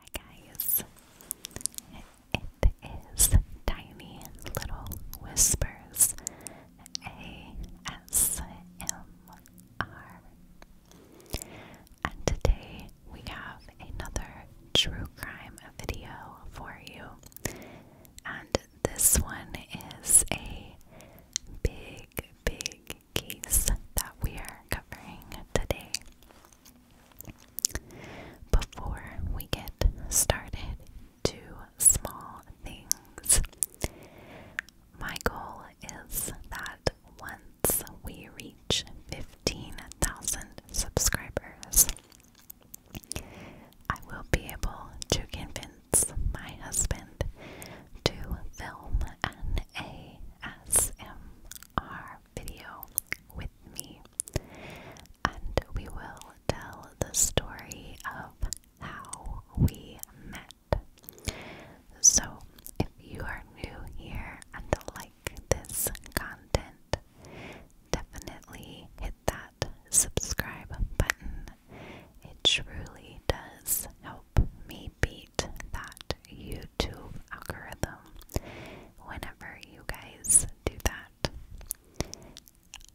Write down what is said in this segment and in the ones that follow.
Hi guys, it is Tiny Little Whispers ASMR, and today we have another true crime video for you, and this one is a big, big case that we are covering today. Before we get started, two small things. My goal is that once we reach 15,000 subscribers, I will be able to convince my husband to film an ASMR video with me, and we will tell the story of how we met. So, if you are new here and like this content, definitely hit that subscribe button. It truly does help me beat that YouTube algorithm whenever you guys do that.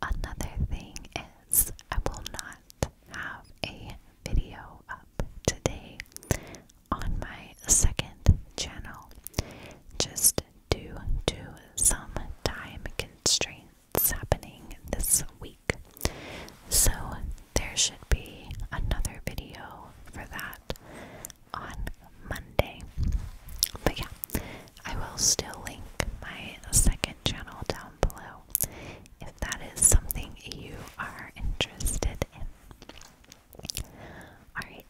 Another thing is, I will not have a video up today on my second channel just due to some time constraints happening this week. So, there should be another video for that on Monday. But yeah, I will still link my second channel down below if that is something you are interested in. Alright,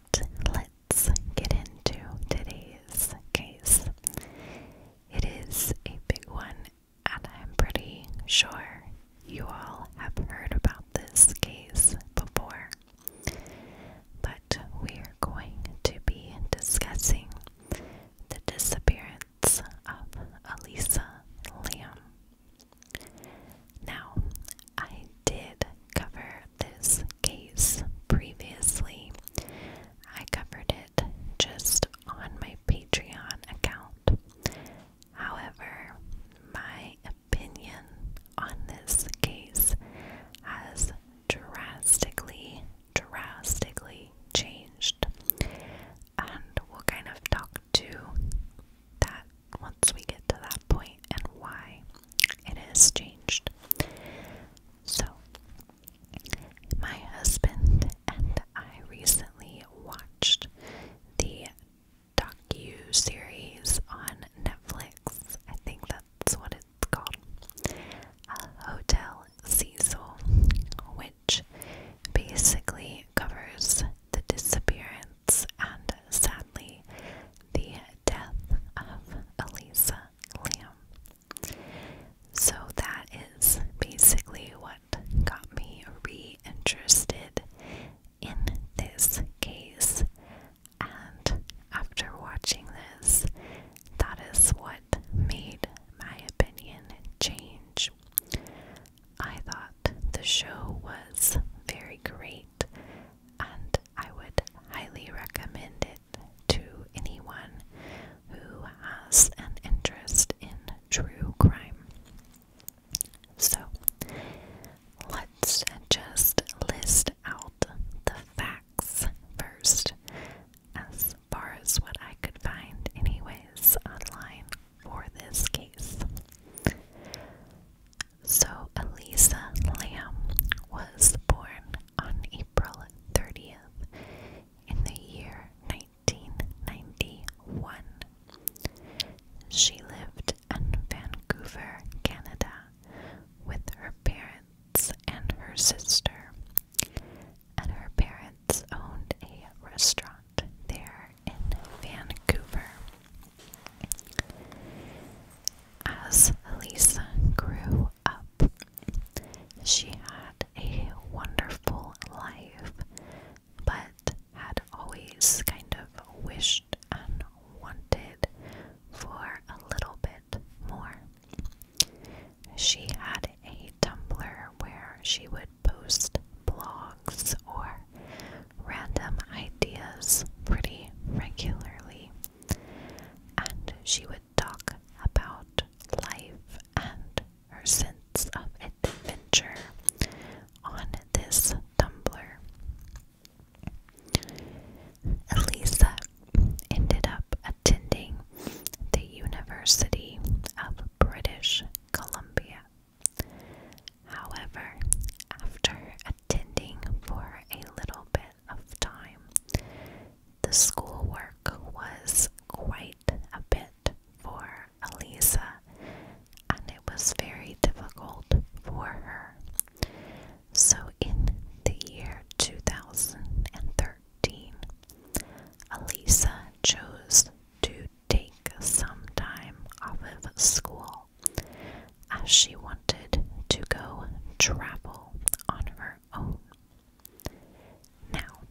let's get into today's case. It is a big one, and I'm pretty sure you all have heard about this case before. But we are going to be discussing the disappearance of Elisa Lamb. Now, I did cover this case previously. I covered it just on my Patreon account. However, my opinion on this case has drastically, drastically changed. And we'll kind of talk to that once we get to that point and why it has changed. So, my husband and I recently watched the docu-series on Netflix. I think that's what it's called. Hotel Cecil, which basically covers the disappearance and sadly the death of Elisa Lamb. So that is basically what got me reinterested in this case. And after watching this, that is what made my opinion change. I thought the show was very great, and I would highly recommend it to anyone who has an interest in true crime. So, Let's just list out the facts first, as far as what I could find, anyways, online for this case. So, Elisa Lamb was born on April 30th in the year 1991. She lived in Vancouver, Canada with her parents and her sister, and her parents owned a restaurant there in Vancouver. As Elisa grew up, she had a wonderful life, but had always kind of wished wanted for a little bit more. She had a Tumblr where she would post blogs or random ideas pretty regularly, and she would talk about life and her sense of adventure on this Tumblr. Elisa ended up attending the University of British Columbia. However, after attending for a little bit of time, the schoolwork was quite a bit for Elisa, and it was very difficult for her. So, in the year 2013, Elisa chose to take some time off of school as she wanted to go travel on her own. Now,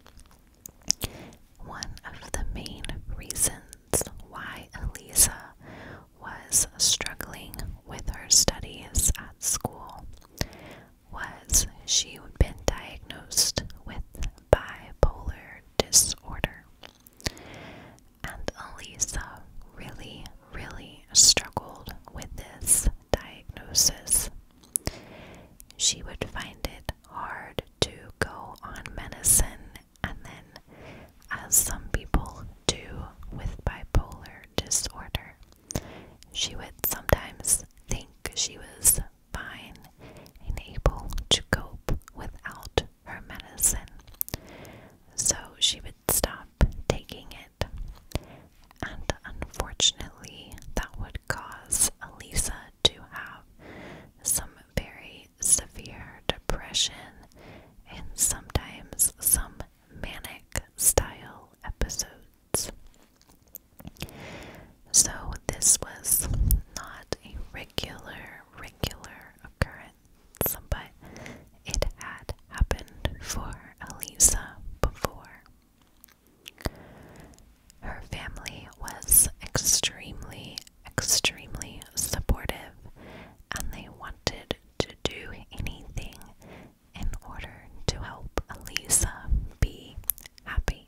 one of the main reasons why Elisa was struggling with her studies at school was she had been diagnosed with bipolar disorder. And Elisa really, really struggled with this diagnosis. She would find it hard to go on medicine and then as some people do with bipolar disorder. She would sometimes think she was fine and able to cope without her medicine, so she would stop taking it. And unfortunately, that would cause Elisa to have some very severe depression and sometimes some manic style episodes. So this was not a regular, regular occurrence, but it had happened for Elisa before. Her family was extremely, extremely supportive and they wanted to do anything in order to help Elisa be happy.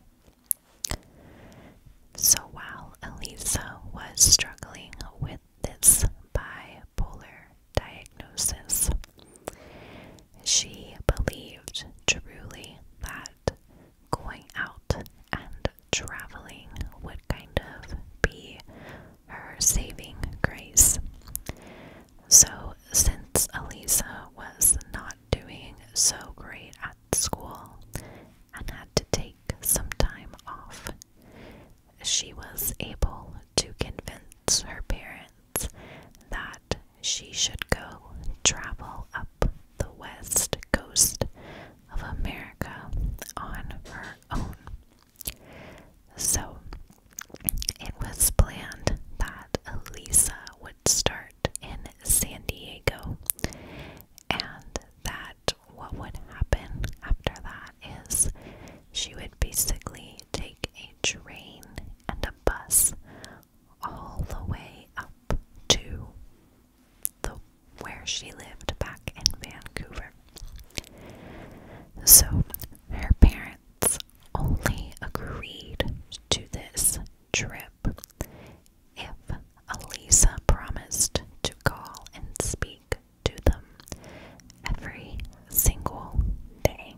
So while Elisa was struggling with this bipolar diagnosis, she believed truly that going out and traveling would kind of be her saving grace. So, since Elisa was not doing so great at school and had to take some time off, she was able to convince her parents that she should go travel up the west coast of America on her own. So it was planned that Elisa would start in San Diego and that what would happen after that is she would basically take a train and a bus all the way up to the where she lived back in Vancouver. So her parents only agreed to this trip if Elisa promised to call and speak to them every single day.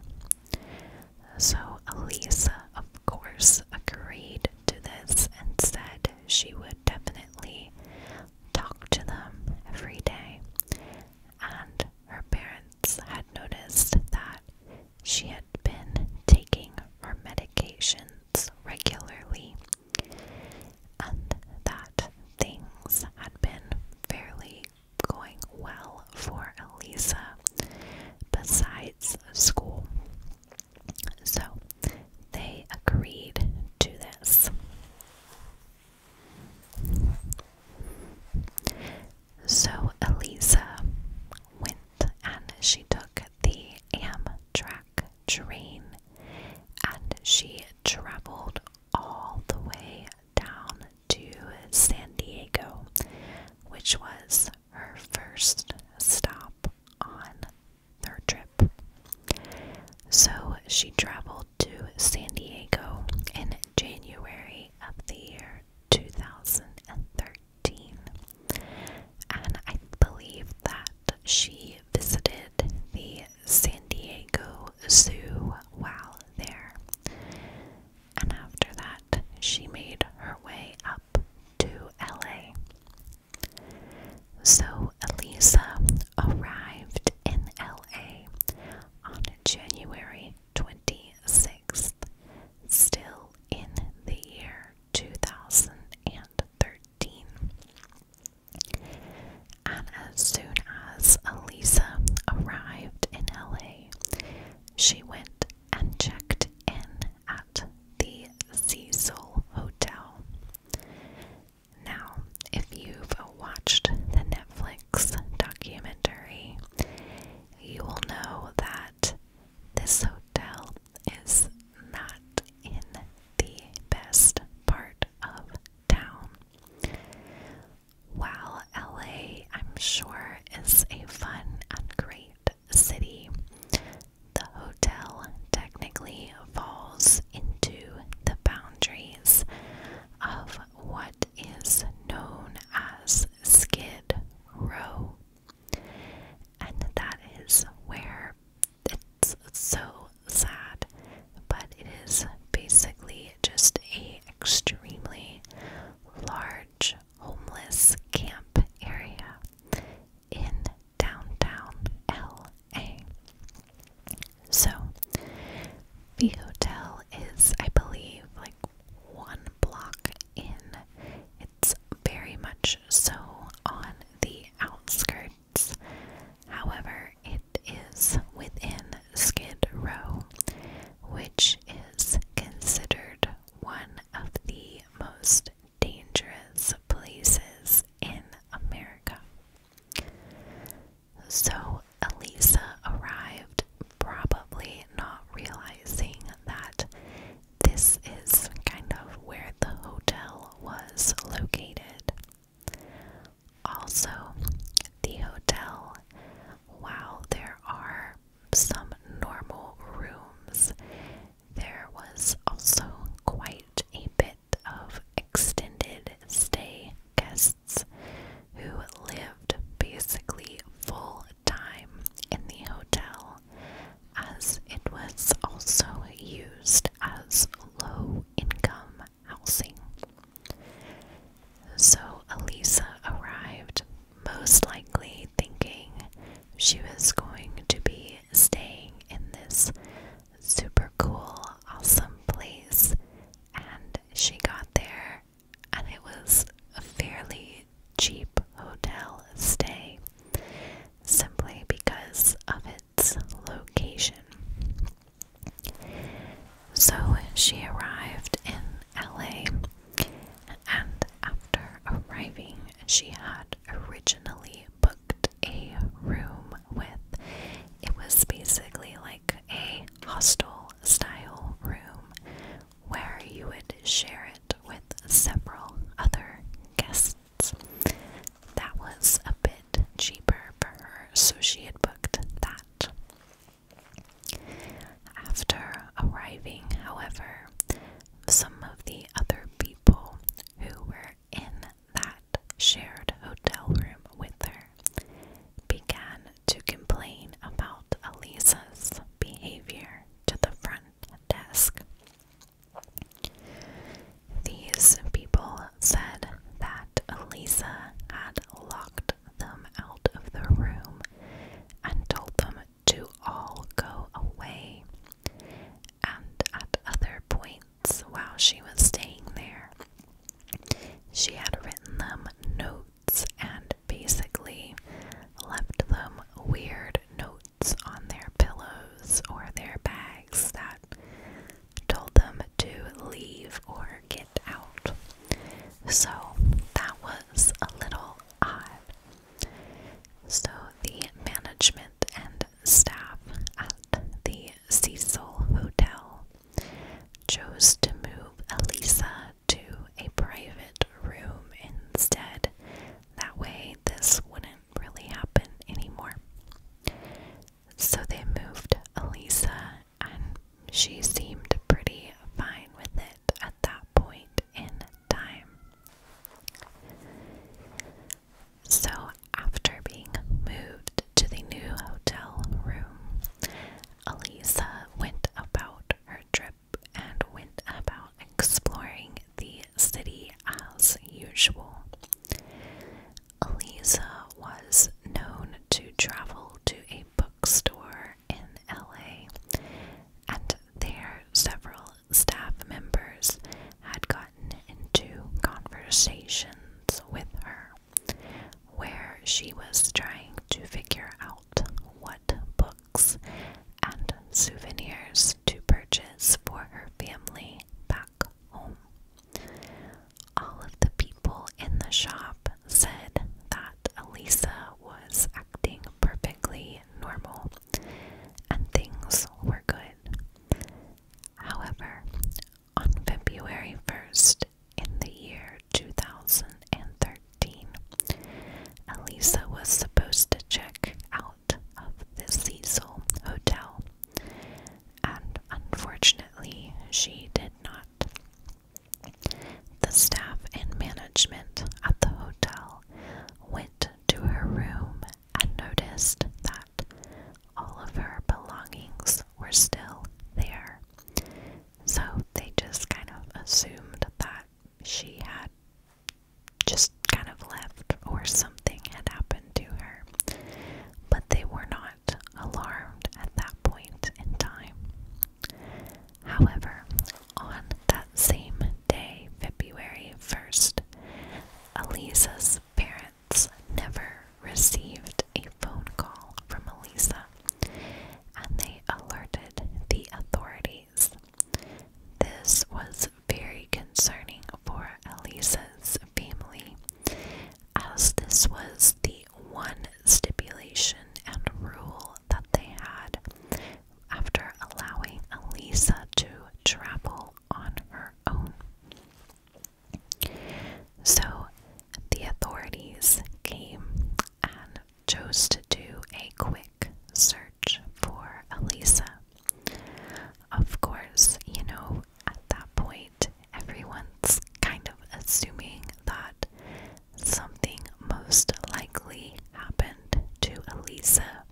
So Elisa, of course, agreed to this and said she would definitely talk to them every day and her parents had noticed that she had been taking her medications regularly and that things had been fairly going well for Elisa besides school. So they agreed to this. So Eliza went and she took the Amtrak train and she traveled all the way down to San Diego, which was her first stop on her trip. So she traveled to San Diego in January of the year 2013. And I believe that she visited the San Diego Zoo while there. And after that, she made her way up to LA. So Elisa arrived in LA on January 26th, still in the year 2013. And as soon as Elisa arrived in LA, she went and checked in at the Cecil Hotel. Now, if you've watched the Netflix documentary, you will know that this hotel is not in the best part of town. While LA, I'm sure, is a fun and great city, the hotel technically falls into the boundaries of what is known as Skid Row, and that is where it's so sad, but it is basically just a extremely large homeless camp area in downtown LA. So, the hotel is, I believe, like one block in. It's very much so on the outskirts. However, it is within Skid Row, which is considered one of the most dangerous places in America. So Elisa arrived, probably not realizing that this is kind of where the hotel was located. Also, the hotel, while there are some normal rooms, there was also quite a bit of extended stay guests who lived basically full time in the hotel as it was also used as low income housing. So Elisa arrived, most likely thinking she was going to be staying in this super cool, awesome place, and she got there, and it was a fairly cheap hotel stay simply because of its location. So she arrived in LA, and after arriving, she had originally booked a room with it was basically like a hostel style room where you would share it with several other guests. That was a bit cheaper for her, so she had booked that. After arriving, however, some of the other people who were in that shared hotel room with her began to complain about Elisa's behavior to the front desk. These people said that Elisa had locked them out of the room and told them to all go away. And at other points while she was staying there, she had written them notes and basically left them weird notes on their pillows or their bags that told them to leave or get out. So that was a little odd. So the management and staff at the Cecil Hotel chose to move Elisa to a private room instead. That way, this wouldn't really happen anymore. So they moved Elisa, and she seemed pretty fine with it at that point in time. So, after being moved to the new hotel room. Elisa went about her trip and went about exploring the city as usual. Elisa was known to travel to a bookstore in LA, and there several staff members had gotten into conversations with her where she was trying to figure out what books and souvenirs to purchase for her family back home. All of the people in the shop said that Elisa was acting perfectly normal and things were good. However, on February 1st in the year 2013. Elisa was supposed to check out of the Cecil Hotel, and unfortunately, she did not. The staff and management at the hotel went to her room and noticed that all of her belongings were still there. So they just kind of assumed that she had just kind of left or something had happened to her. But they were not alarmed at that point in time. However, on that same day, February 1st, Elisa's parents never received a phone call from Elisa and they alerted the authorities. This was very concerning for Elisa's family, as this was the one stipulation and rule that they had after allowing Elisa to travel on her own. So the authorities came and chose to do a quick search for Elisa. Of course, you know, at that point, everyone's kind of assuming that something most likely happened to Elisa.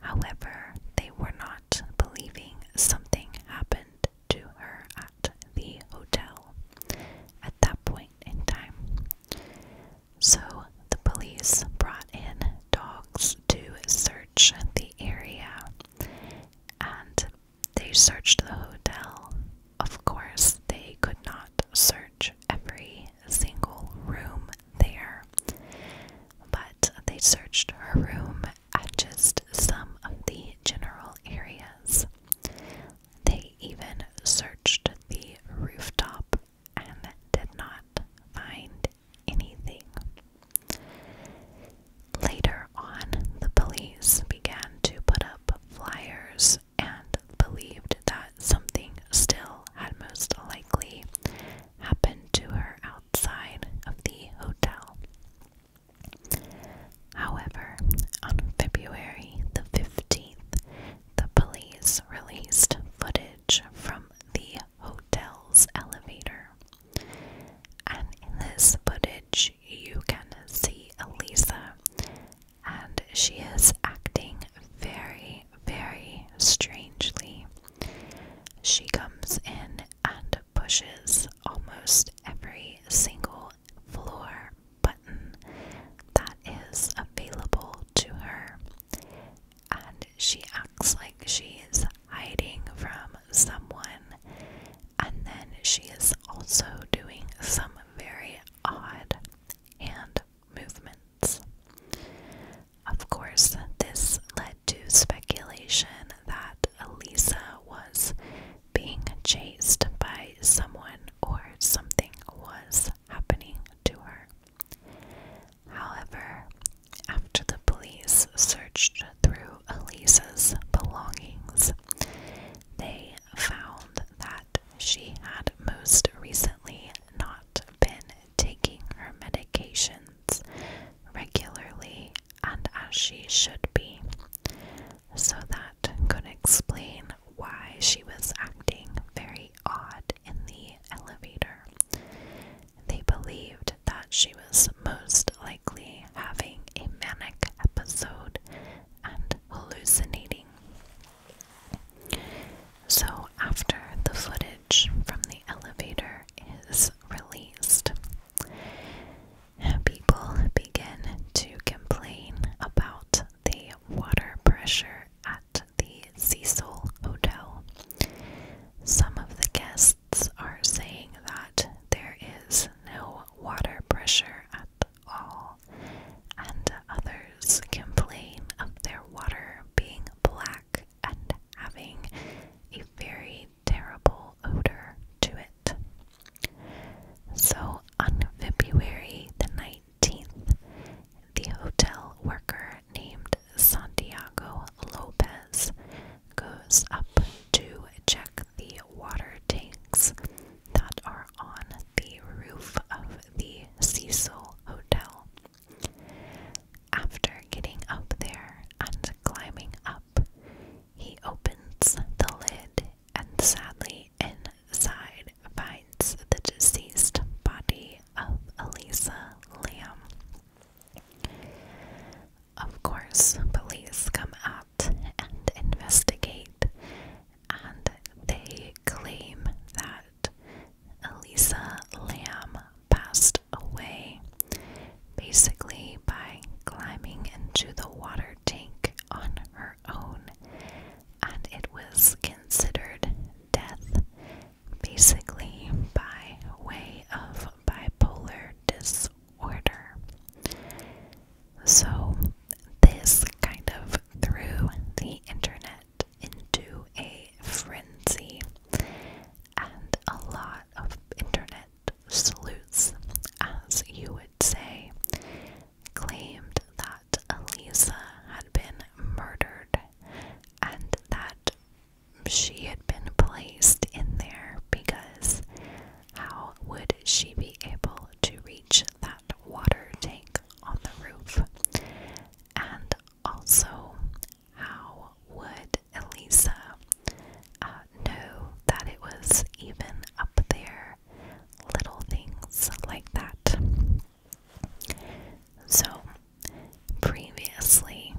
However, they were not believing something happened to her at the hotel at that point in time. So the police brought in dogs to search the area and they searched the hotel. Of course, they could not search every single room there, but they searched her room at just some of the general areas. They even searched the rooftop and did not find anything. Later on, the police began to put up flyers and believed that something still had most likely happened to her outside of the hotel. However, on February the 15th, the police released footage from the hotel's elevator. And in this footage, you can see Elisa, and she is acting very, very strangely. She comes in and pushes almost every single floor button that is available to her, and she acts like she is hiding from someone, and then she is also doing some very odd hand movements. Of course, this led to speculation that Elisa was being chased by someone or something was happening to her. However, after the police searched through Elisa's belongings, they found that she had most recently not been taking her medications regularly and as she should be so that could explain why she was acting very odd in the elevator. They believed that she was most likely having a manic episode and hallucinating. So, after the footage from the elevator is released, people begin to complain about the water pressure at the Cecil Hotel. Some of the guests are saying that there is no water pressure at all, and others complain of their water being black and having a very terrible odor to it. So on February the 19th, the hotel worker named Santiago Lopez goes up to check the water tanks that are on the roof of the Cecil Hotel. After getting up there and climbing up, he opens the lid and sadly inside finds the deceased body of Elisa Lamb. Of course, police come out and investigate, and they claim that Elisa Lamb passed away basically by climbing into the water tank on her own, and it was considered death basically by way of bipolar disorder. So, this kind of threw the internet into a frenzy, and a lot of internet sleuths, as you would say, claimed that Elisa had been murdered and that she had been placed in there because how would she be able to reach that water tank on the roof? And also, how would Elisa uh, know that it was even up there little things like that. So, previously,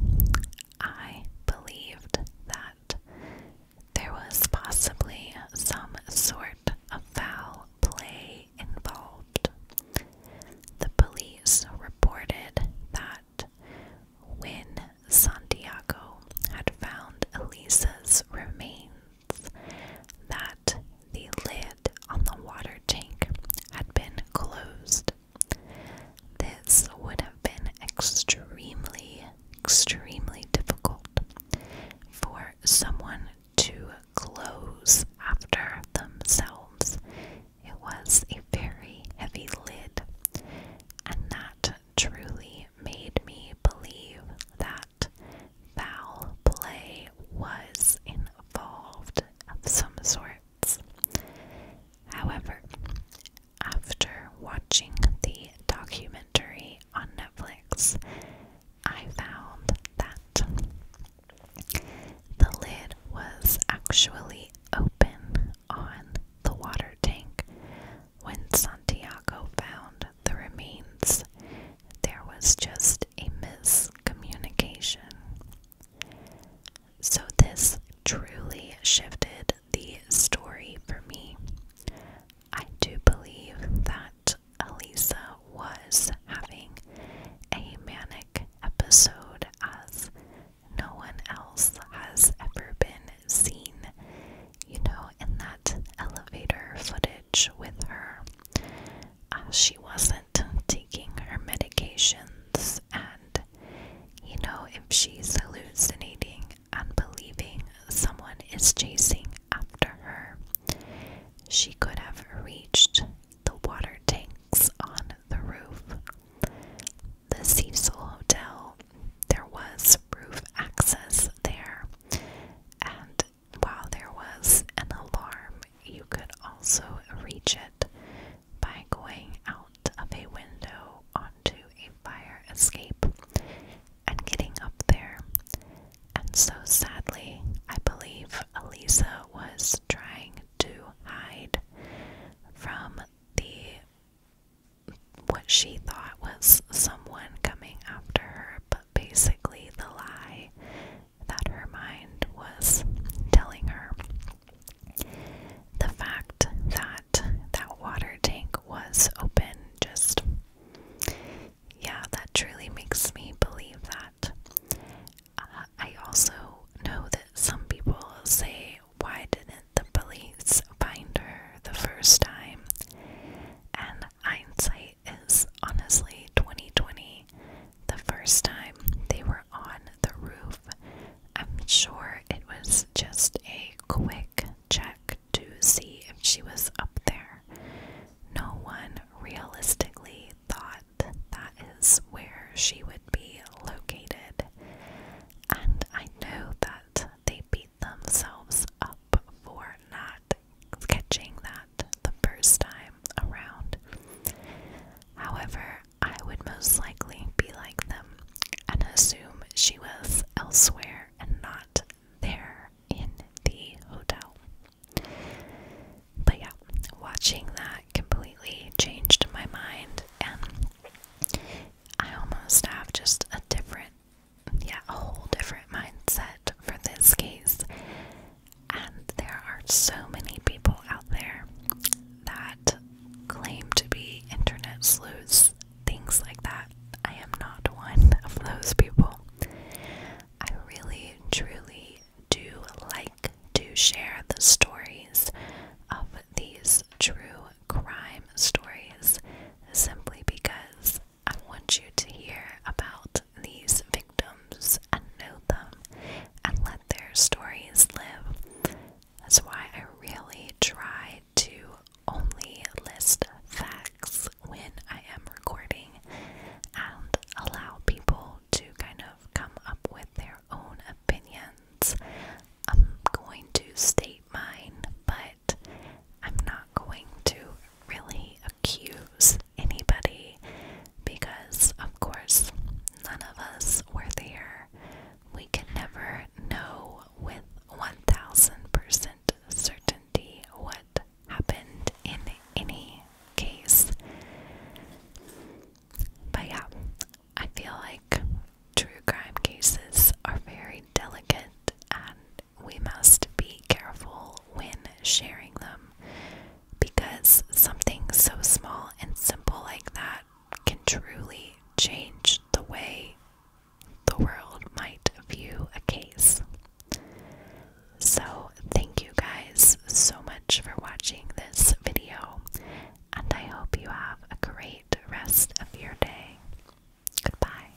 I believed that there was possibly some sort of foul play involved. The police reported that when Santiago had found Elisa's remains, that the lid on the water tank had been closed. This would have been extremely, extremely difficult for someone to close after themselves. It was a very heavy lid, and that truly made me believe that foul play was involved of some sorts. However, after watching the documentary on Netflix, I found that the lid was actually open on the water tank when Santiago found the remains, there was just a miscommunication. So, this truly shifted the story for me. I do believe that Elisa was having a manic episode, as no one else has ever been seen. You know, in that elevator footage with her. Uh, she wasn't taking her medications, and you know, if she's hallucinating and believing someone is chasing after her, she could have reached the water tanks on the roof. The Cecil Hotel, there was roof access there, and while there was an alarm, you could also reach it by going out of a window onto a fire escape and getting up there. And so sadly, I believe Elisa was trying to hide from the what she thought was someone coming after her, basically the lie that her mind was telling her. The fact that that water tank was open just, yeah, that truly makes me believe that. Uh, I also know that some people say, why didn't the police find her the first time? And hindsight is honestly 2020, the first time they were on the roof. I'm sure it was just a quick check to see if she was up there. No one realistically thought that is where she would be located. And I know that they beat themselves up for not catching that the first time around. However, I would most likely be like them and assume she was elsewhere and not there in the hotel. But yeah, watching that completely changed my mind, and I almost have just a different yeah, a whole different mindset for this case. And there are so many people out there that claim to be internet sleuths, things like that. I am not one of those people. I really, truly do like to share the stories of these true crime stories simply because I want you to hear about these victims and know them and let their stories live. That's why I really try to only list facts when I am recording and allow people to kind of come up with their own opinions. I'm going to state mine, but I'm not going to really accuse anybody because, of course, none of us were there. We can never know with 1000% certainty what happened in any case. But yeah, I feel like true crime cases are very delicate and we must be careful when sharing them because something so small and simple like that can truly change the way the world might view a case. So, thank you guys so much for watching this video, and I hope you have a great rest of your day. Goodbye.